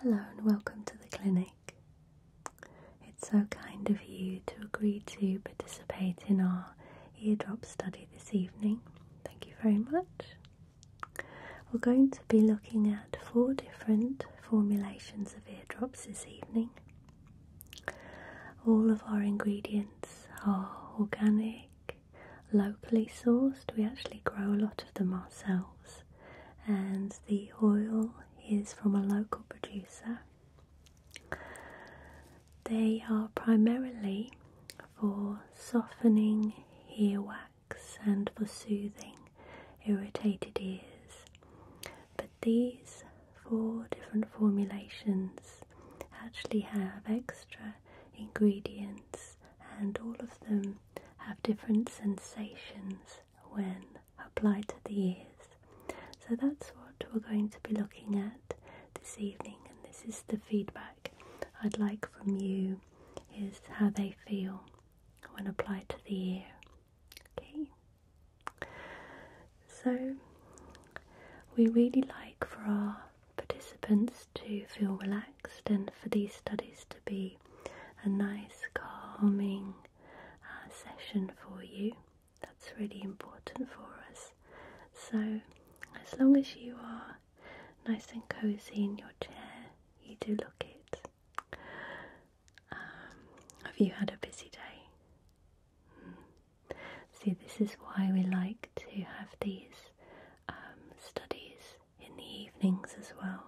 Hello and welcome to the clinic. It's so kind of you to agree to participate in our eardrop study this evening. Thank you very much. We're going to be looking at four different formulations of eardrops this evening. All of our ingredients are organic, locally sourced. We actually grow a lot of them ourselves and the oil is from a local producer. They are primarily for softening earwax and for soothing irritated ears, but these four different formulations actually have extra ingredients and all of them have different sensations when applied to the ears. So that's what we're going to be looking at this evening, and this is the feedback I'd like from you is how they feel when applied to the ear. Okay. So we really like for our participants to feel relaxed relaxed and for these studies to be a nice calming uh, session for you. That's really important for us. So, as long as you are nice and cozy in your chair, you do look it. Um, have you had a busy day? Hmm. See, this is why we like to have these um, studies in the evenings as well,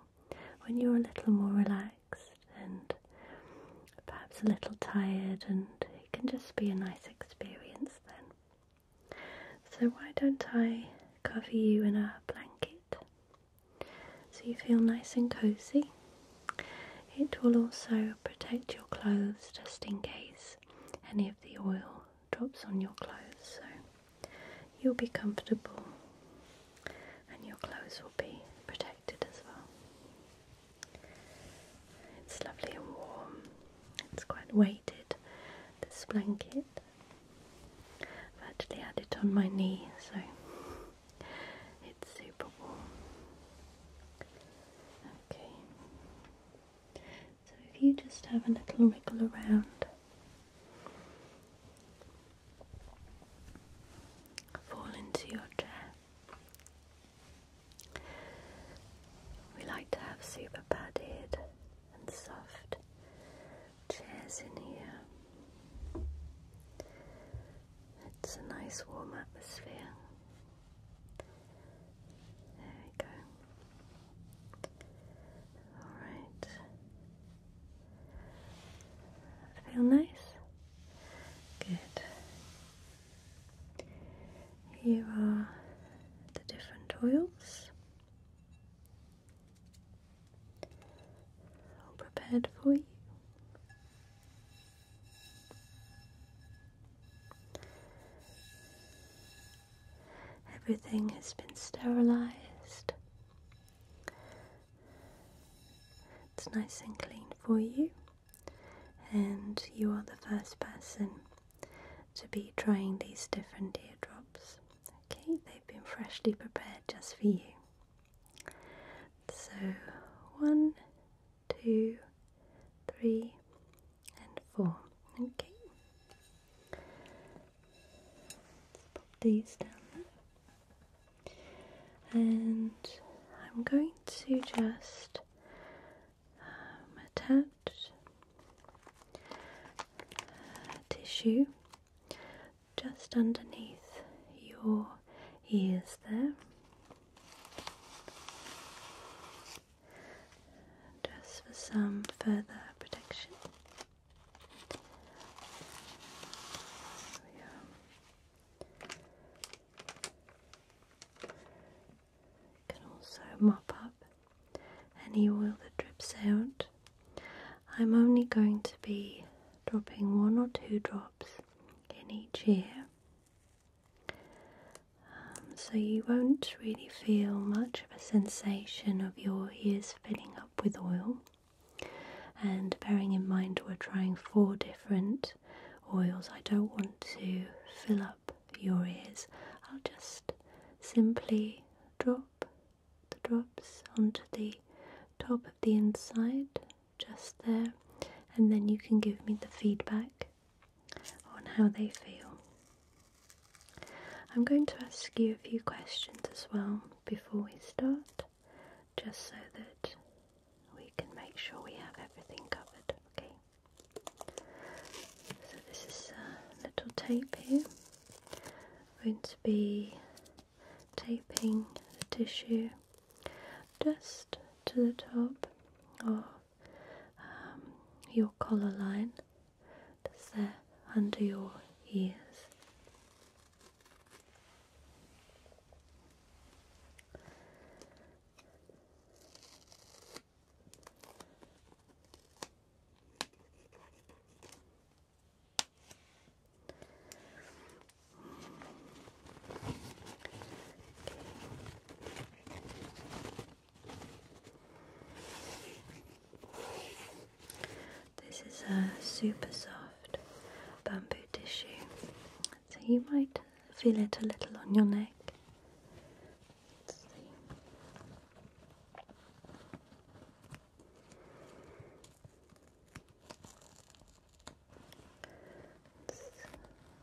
when you're a little more relaxed and perhaps a little tired, and it can just be a nice experience then. So, why don't I cover you in a blanket so you feel nice and cozy? It will also protect your clothes just in case any of the oil drops on your clothes, so you'll be comfortable and your clothes will be protected as well. It's lovely and warm, it's quite weighted, this blanket. I've actually had it on my knee, so it's super warm. Okay, so if you just have a little wiggle around Fall into your chair. We like to have super padded and soft chairs in here. It's a nice warm atmosphere. There we go. Alright. Feel nice? Good. Here are the different oils. All prepared for you. Everything has been sterilized. It's nice and clean for you, and you are the first person to be trying these different eardrops. Okay, they've been freshly prepared just for you. So, one, two, three, and four. Okay. Let's pop these down there. And I'm going to just um, attach uh, tissue just underneath your ears there. Just for some further protection. Can also mop up any oil that drips out. I'm only going to be dropping one or two drops in each ear, um, so you won't really feel much of a sensation of your ears filling up with oil. And bearing in mind we're trying four different oils, I don't want to fill up your ears. I'll just simply drop the drops onto the top of the inside, just there, and then you can give me the feedback on how they feel. I'm going to ask you a few questions as well before we start, just so that we can make sure we have everything covered, okay? So, this is a little tape here. I'm going to be taping the tissue just to the top of um, your collar line just there, under your ears. This is a super soft bamboo tissue, so you might feel it a little on your neck.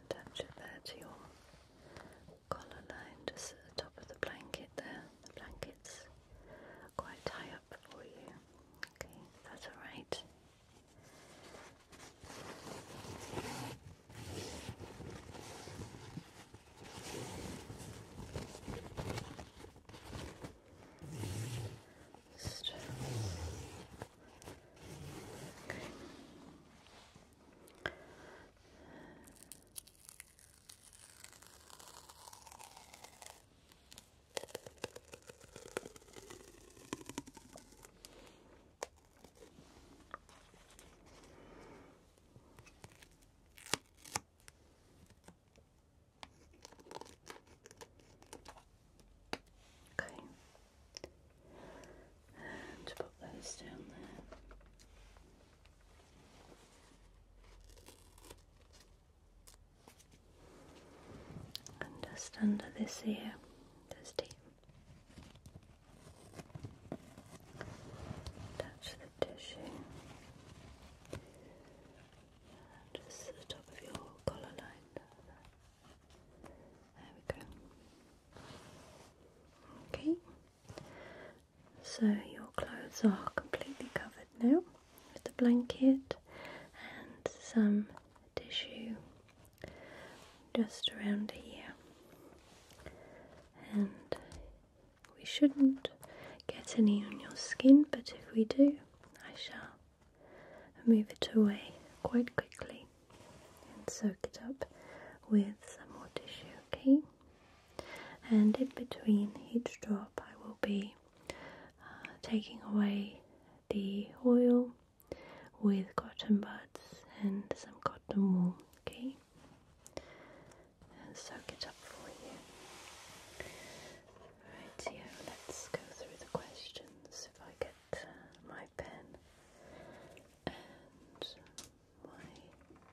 touch it there to your collar line, just at the top of the blanket there, the blanket it's quite high up for you. Okay, that's alright. Okay. Okay, and put those down there. And just under this ear, there's deep. Touch the tissue. just the top of your collar line. There we go. Okay. So your clothes are completely covered now with the blanket and some tissue just around here. And we shouldn't get any on your skin, but if we do, I shall move it away quite quickly and soak it up with some more tissue, okay? and in between each drop, I will be uh, taking away the oil with cotton buds and some cotton wool, okay, and soak it up for you. Right here, let's go through the questions. If I get uh, my pen and my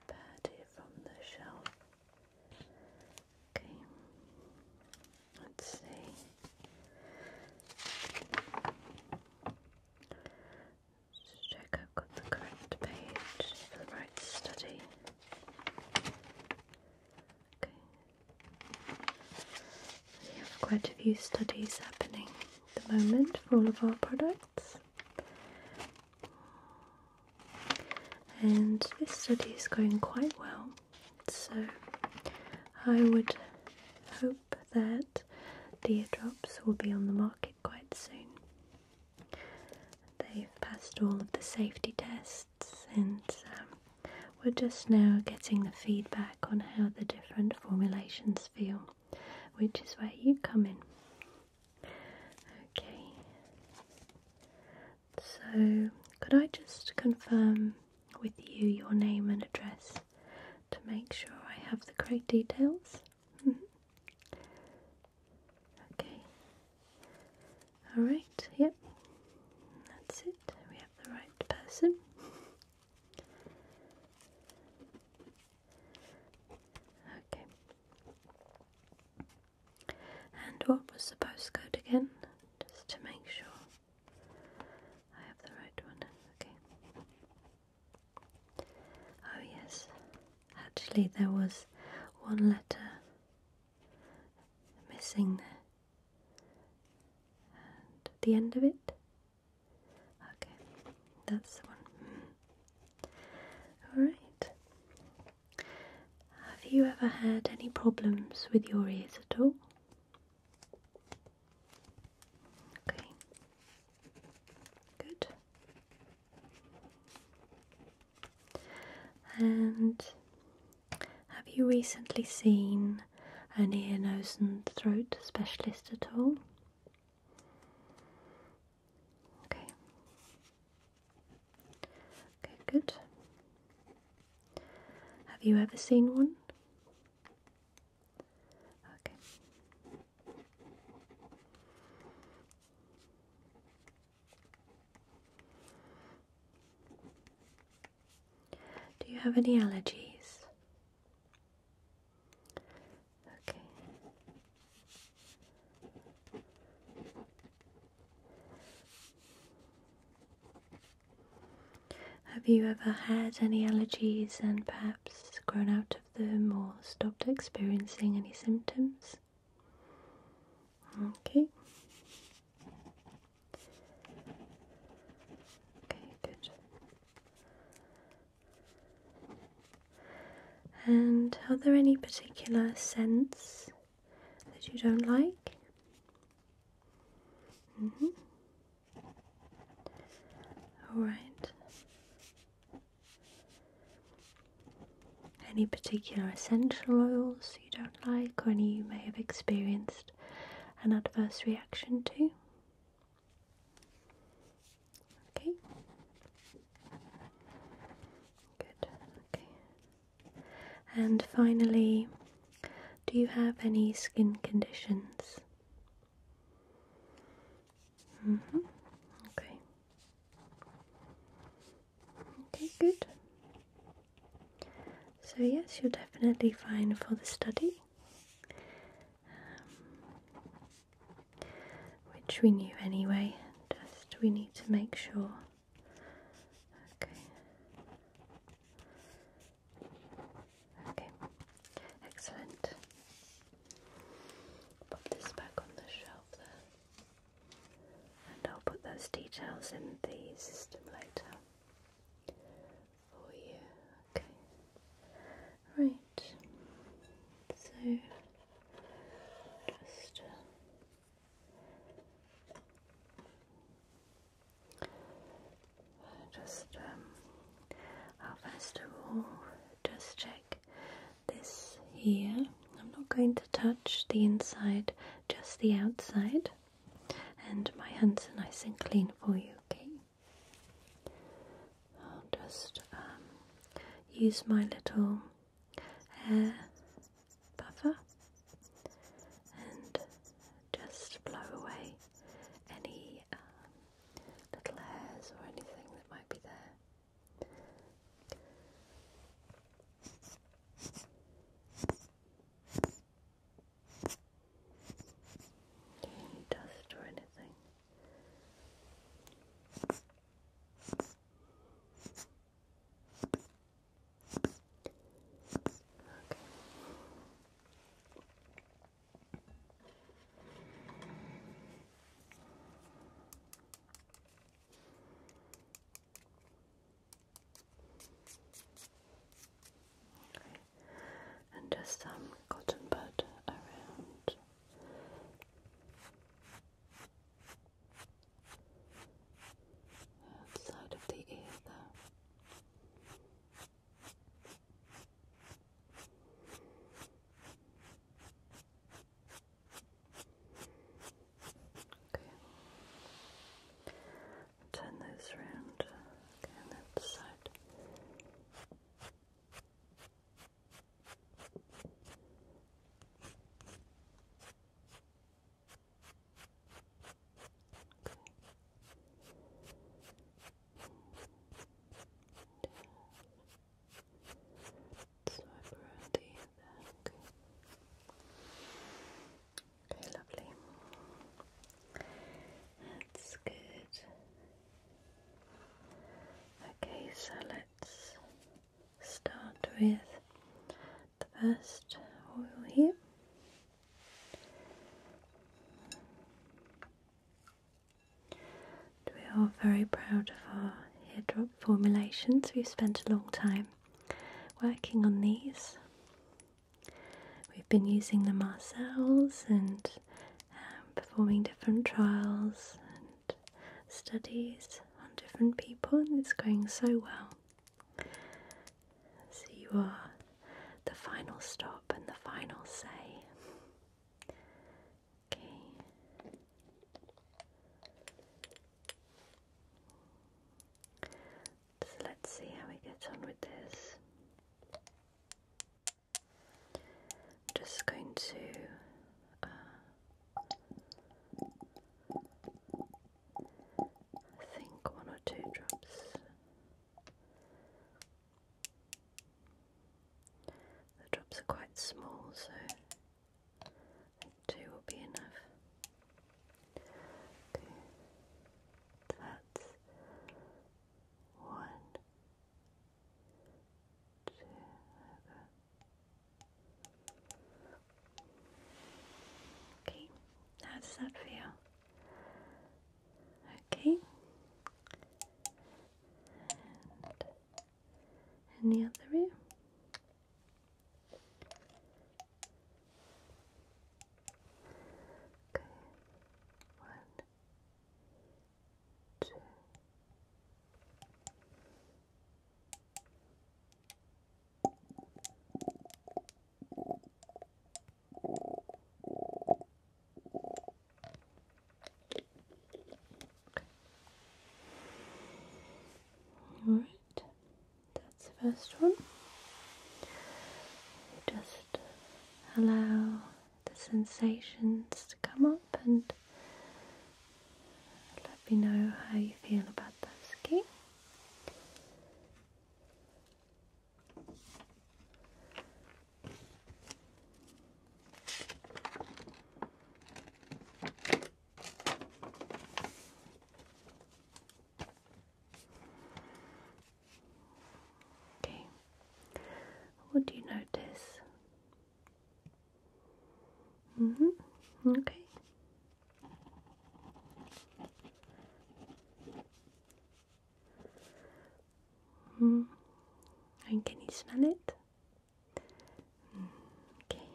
pad here from the shelf. Okay. Let's see. let check I've got the correct page for the right study. Okay. We have quite a few studies happening at the moment for all of our products. And this study is going quite well, so I would hope that the eardrops will be on the market quite soon. They've passed all of the safety tests and um, we're just now getting the feedback on how the different formulations feel, which is where you come in. Okay. So, could I just confirm with you your name and address to make sure I have the correct details? okay. Alright, yep. That's it. We have the right person. Okay. And what was the postcode again? Just to make sure I have the right one. Okay. Oh, yes. Actually, there was one letter missing there. And the end of it? Okay, that's the one. Hmm. Alright. Have you ever had any problems with your ears at all? Okay. Good. And have you recently seen an ear, nose, and throat specialist at all? Okay. Okay, good. Have you ever seen one? Okay. Do you have any allergies? Okay. Have you ever had any allergies and perhaps grown out of them or stopped experiencing any symptoms? Okay. Okay, good. And are there any particular scents that you don't like? Mm-hmm. All right. Any particular essential oils you don't like, or any you may have experienced an adverse reaction to? Okay. Good. Okay. And finally, do you have any skin conditions? Mm-hmm. okay. Okay, good. So yes, you're definitely fine for the study. Um, which we knew anyway, just we need to make sure. Okay. Okay, excellent. Pop this back on the shelf and I'll put those details in the system later for you. Okay, right. So. Just uh, just um, first of all just check this here. I'm not going to touch the inside, just the outside. And my hands are nice and clean for you, okay? I'll just um, use my little hair buffer and just blow away any um, little hairs or anything that might be there. Any dust or anything. And just some um, cotton bud around outside of the ear there. Okay. Turn those around. Okay, that side swipe around the back. Okay, lovely. That's good. Okay, so let start with the first oil here. we are very proud of our hair drop formulations. We've spent a long time working on these. We've been using them ourselves and um, performing different trials studies on different people, and it's going so well. So, you are the final stop and the final say. Okay. So let's see how we get on with this. I'm just going to uh, think one or two drops. The drops are quite small, so two will be enough. Okay. That's one, Okay, how does that feel? Okay, and the other ear. Okay, one, all right, that's the first one. just allow the sensations to come up and let me know how you feel about those, okay? Okay, what do you notice? Mm hmm Okay. Mm. And can you smell it? Mm, okay.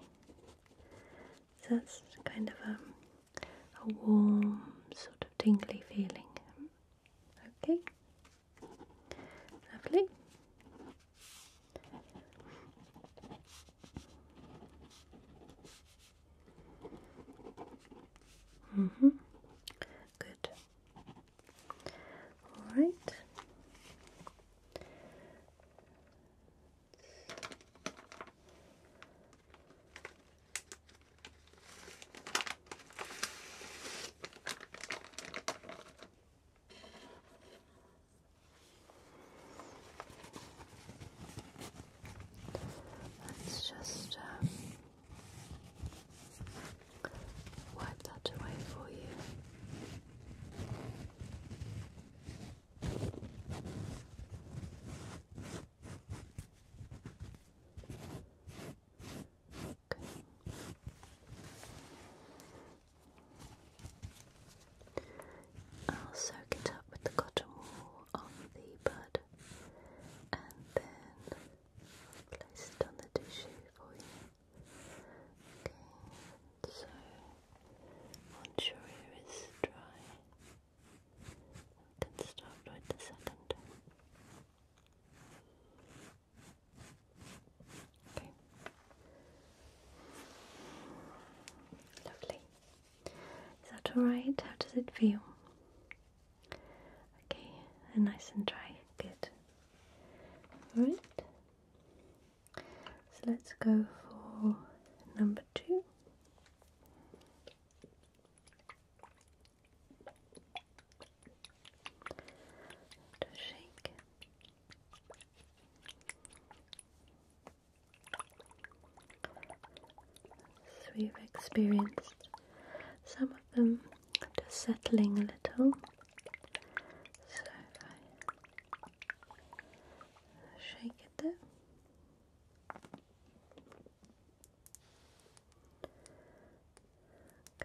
So that's kind of a, um, a warm, sort of tingly feeling. Okay. Lovely. Mm hmm Good. All right. Let's just um, wipe that away for you. I'll soak it up with the cotton wool on the bud and then place it on the tissue for you. Okay, so once your ear is dry, you can start with the second. Okay. Lovely. Is that alright? How does it feel? Okay, and nice and dry. Good. Alright. So let's go for number two to shake. So we've experienced some of them just settling a little. So if I shake it there. Okay.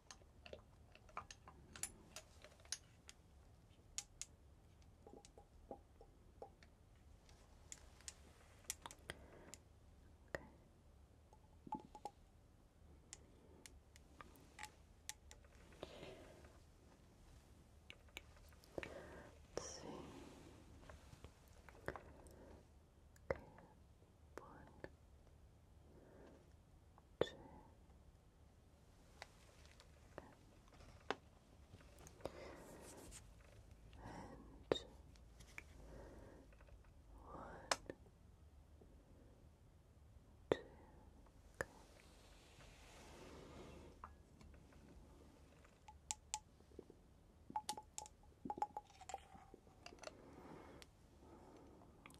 Let's see. Okay one, two. And one, two,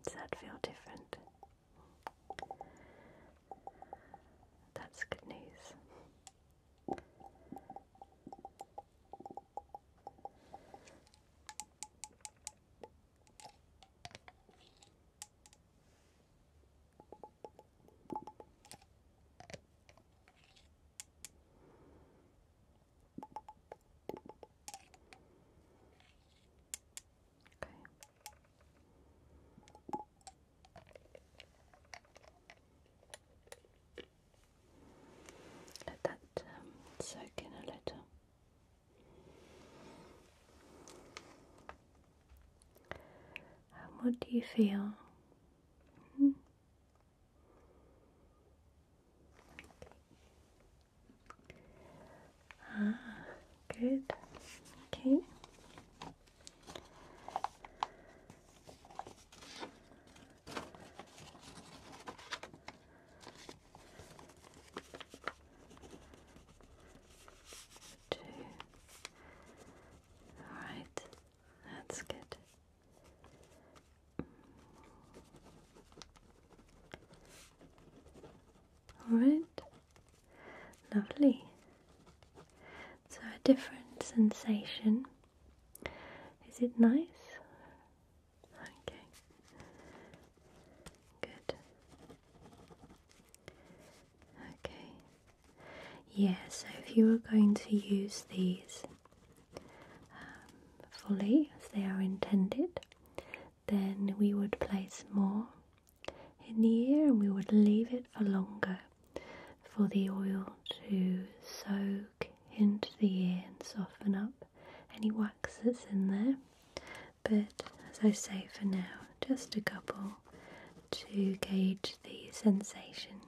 does that feel different? That's good news. Okay. Let that um, soak in a little. what do you feel? Hmm? Ah, good. Okay. Two. All right, that's good. Alright, lovely. So, a different sensation. Is it nice? Okay, good. Okay, yeah, so if you are going to use these um, fully as they are intended, then we would place more in the ear and we would leave it for longer for the oil to soak into the ear and soften up any wax that's in there. But as I say for now, just a couple to gauge the sensation.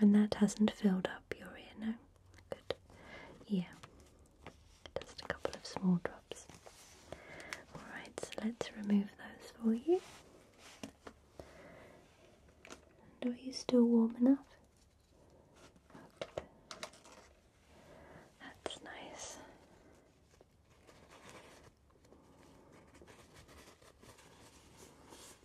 And that hasn't filled up your ear now. Good. Yeah. Just a couple of small drops. Alright, so let's remove those for you. are you still warm enough? That's nice.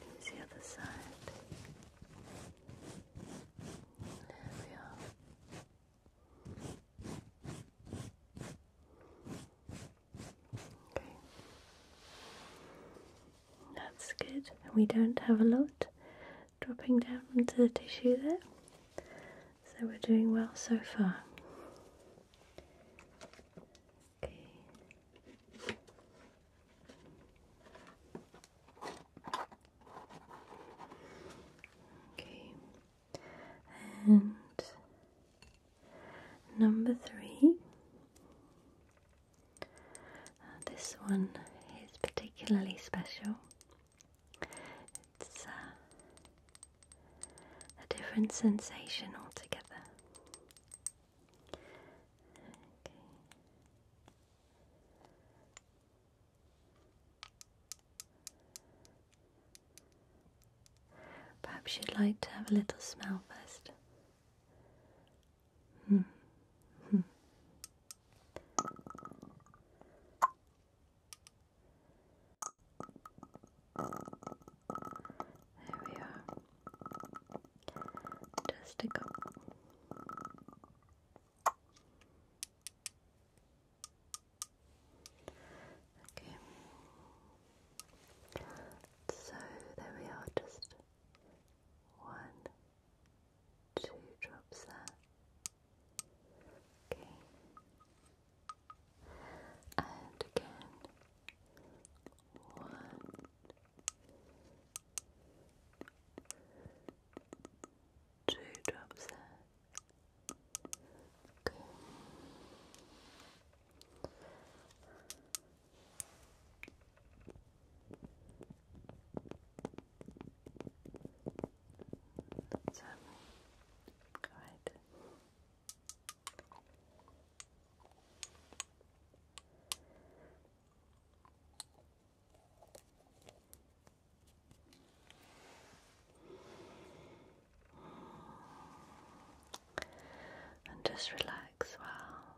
Here's the other side. There Okay. That's good. we don't have a lot dropping down into the tissue there. So we're doing well so far. Okay. Okay, and number three. Uh, this one is particularly special. It's uh, a different sensation altogether. Perhaps you'd like to have a little smell first. Hmm. Hmm. There we are testicle. Okay. So there we are, just one, two drops there. Okay. And again, one, Two drops there. Okay. That's all right. And just relax while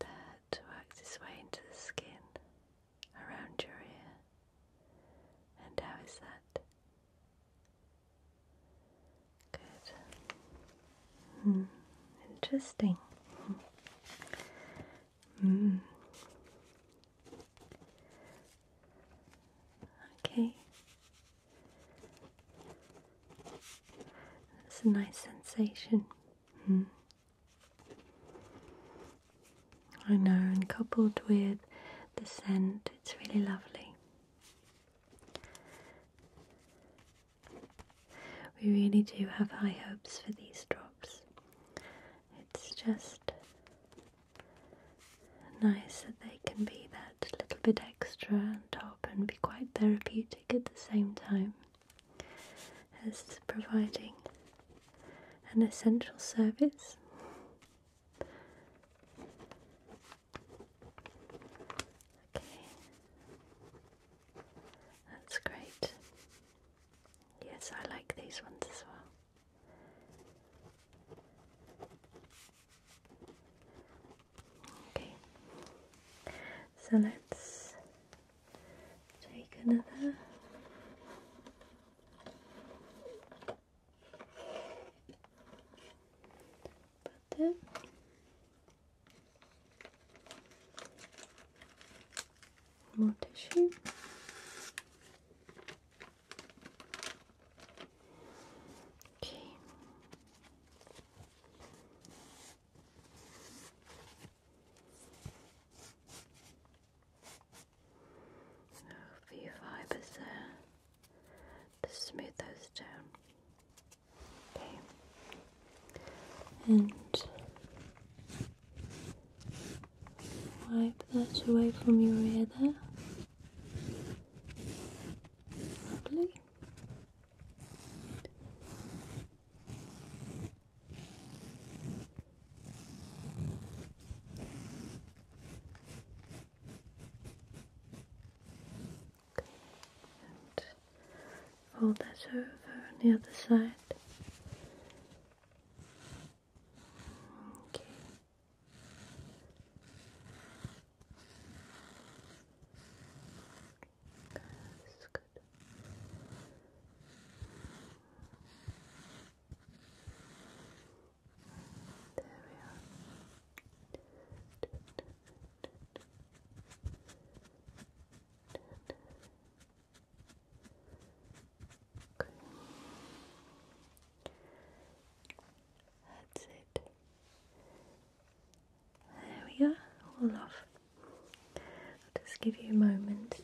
That works its way into the skin around your ear. And how is that? Good. Hmm. Interesting. Hmm. Okay. It's a nice sensation. Hmm. I know, and coupled with the scent, it's really lovely. We really do have high hopes for these drops. It's just nice that they can be that little bit extra on top and be quite therapeutic at the same time as providing an essential service. Okay, that's great. Yes, I like these ones as well. Okay, so let's take another. Butter. More tissue. Okay. A few fibers there to smooth those down. Okay. And wipe that away from your ear there. Lovely. Okay. And fold that over on the other side. Okay. There we are. That's it. There we go, all off. I'll just give you a moment to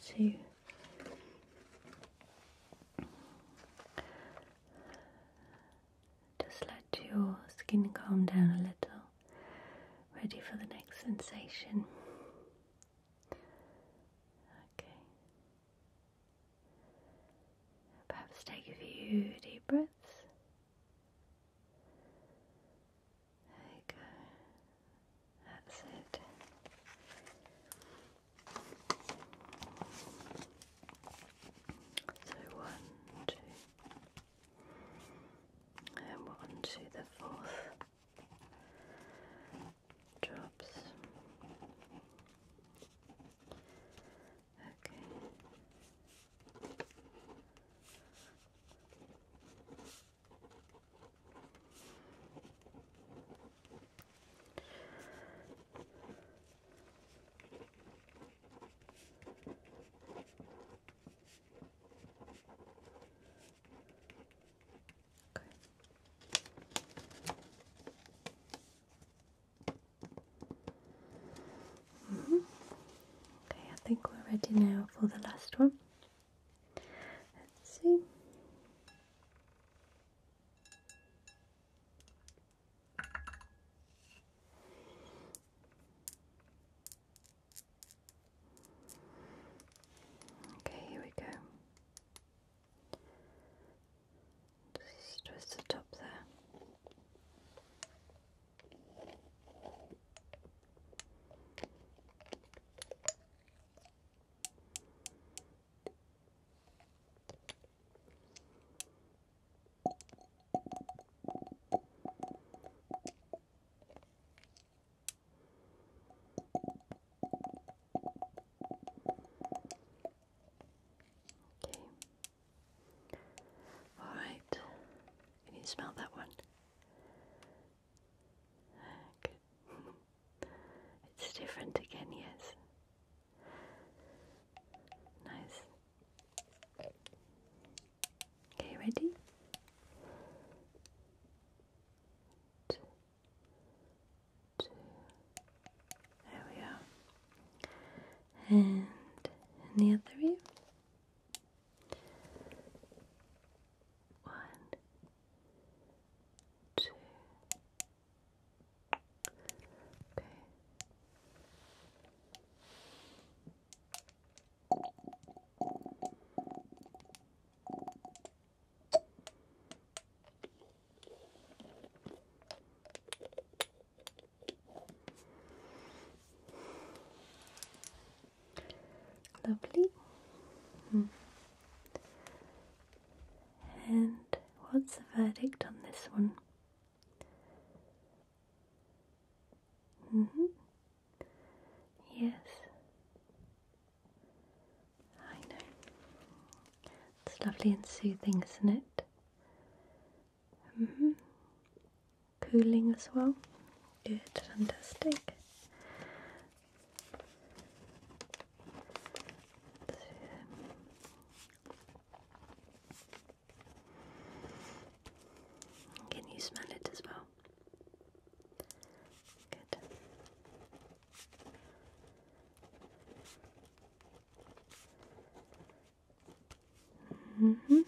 just let your skin calm down a little, ready for the next sensation. Okay. Perhaps take a few deep breaths. There you go. That's it. So one, two, and one to the fourth drops. Okay. Mm -hmm. Okay, I think we're ready now for the last one. Let's see. Okay, here we go. Just twist the top there. Okay. All right. Can you smell that one? Good. it's different again, yes. Nice. Okay, ready? Two, There we are. And the other ear. One, two, Lovely. Hmm. And what's the verdict on this one? Mm -hmm. Yes, I know. It's lovely and soothing, isn't it? Mm -hmm. Cooling as well. Good, fantastic. Can you smell it as well? Good. Mm -hmm.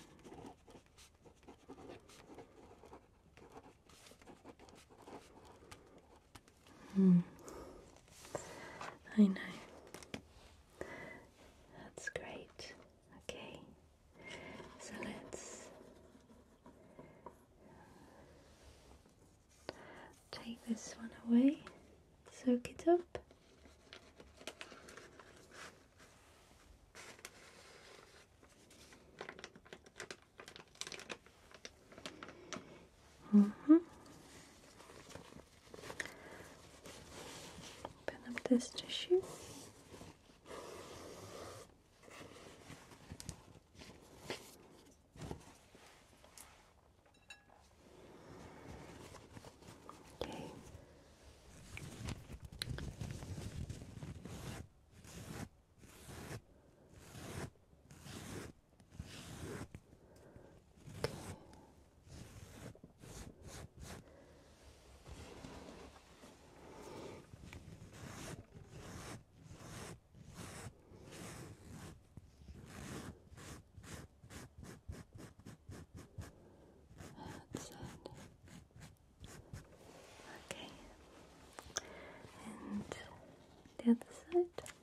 I know. That's great. Okay, so let's take this one away, soak it up hmm Open up this tissue. Okay. Okay. That's it. Okay. And the other side.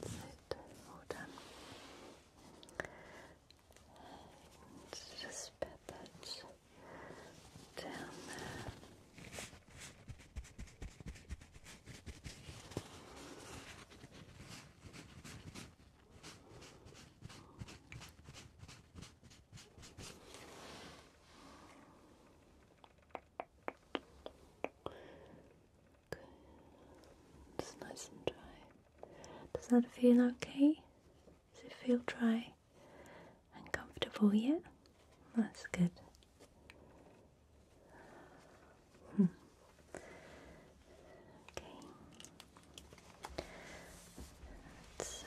That's it. All done. And just pat that down there. Good. It's nice and dry. Does that feel okay? Does it feel dry and comfortable yet? That's good. Hmm. Okay. So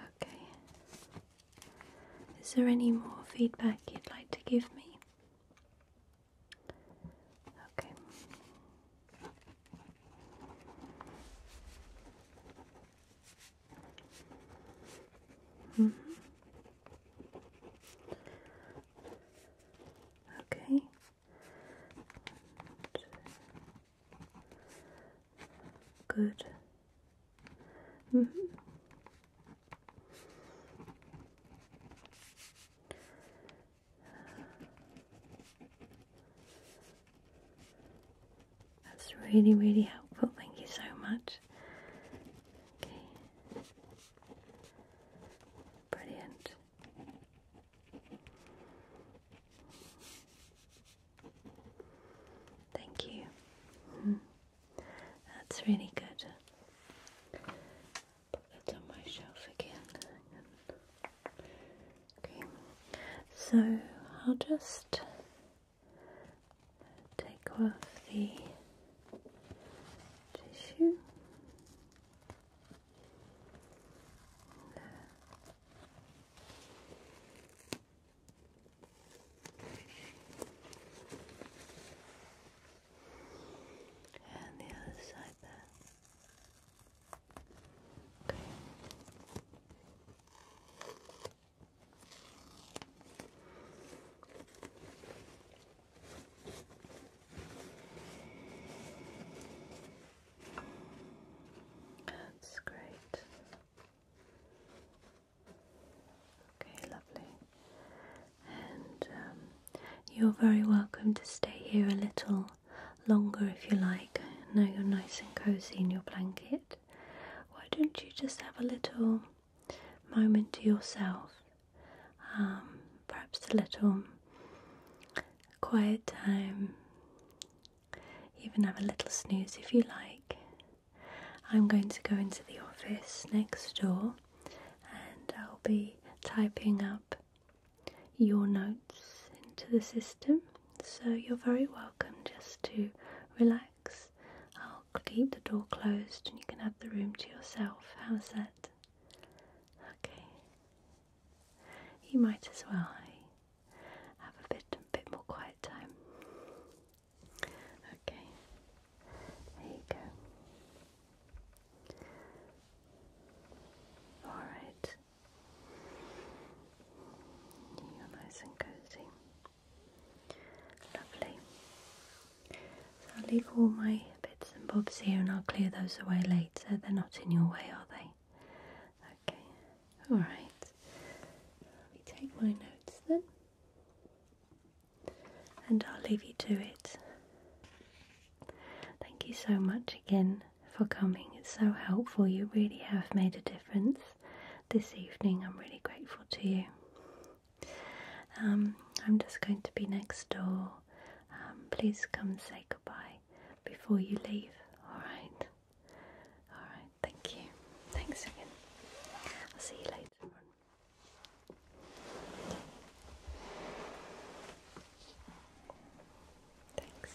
Okay. Is there any more feedback you'd like to give me? Okay. -hmm. Okay. Good. -hmm. That's really, really helpful. Thank you so much. Okay. Brilliant. Thank you. Mm-hmm. That's really good. Put that on my shelf again. Okay. So I'll just take off the tissue. And the other side there. Okay. That's great. Okay, lovely. And um, you're very welcome to stay here a little longer if you like. Now you're nice and cozy in your blanket. Why don't you just have a little moment to yourself, um, perhaps a little quiet time, even have a little snooze if you like. I'm going to go into the office next door and I'll be typing up your notes into the system. So you're very welcome just to relax I'll keep the door closed and you can have the room to yourself. How's that? Okay. You might as well have a bit, a bit more quiet time. Okay. There you go. All right. You're nice and cozy. Lovely. I'll leave all my bits and bobs here and I'll clear those away later. They're not in your way, are they? Okay, alright. Let me take my notes then. And I'll leave you to it. Thank you so much again for coming. It's so helpful. You really have made a difference this evening. I'm really grateful to you. Um, I'm just going to be next door. Um, please come say goodbye before you leave. All right. All right. Thank you. Thanks again. I'll see you later. Thanks.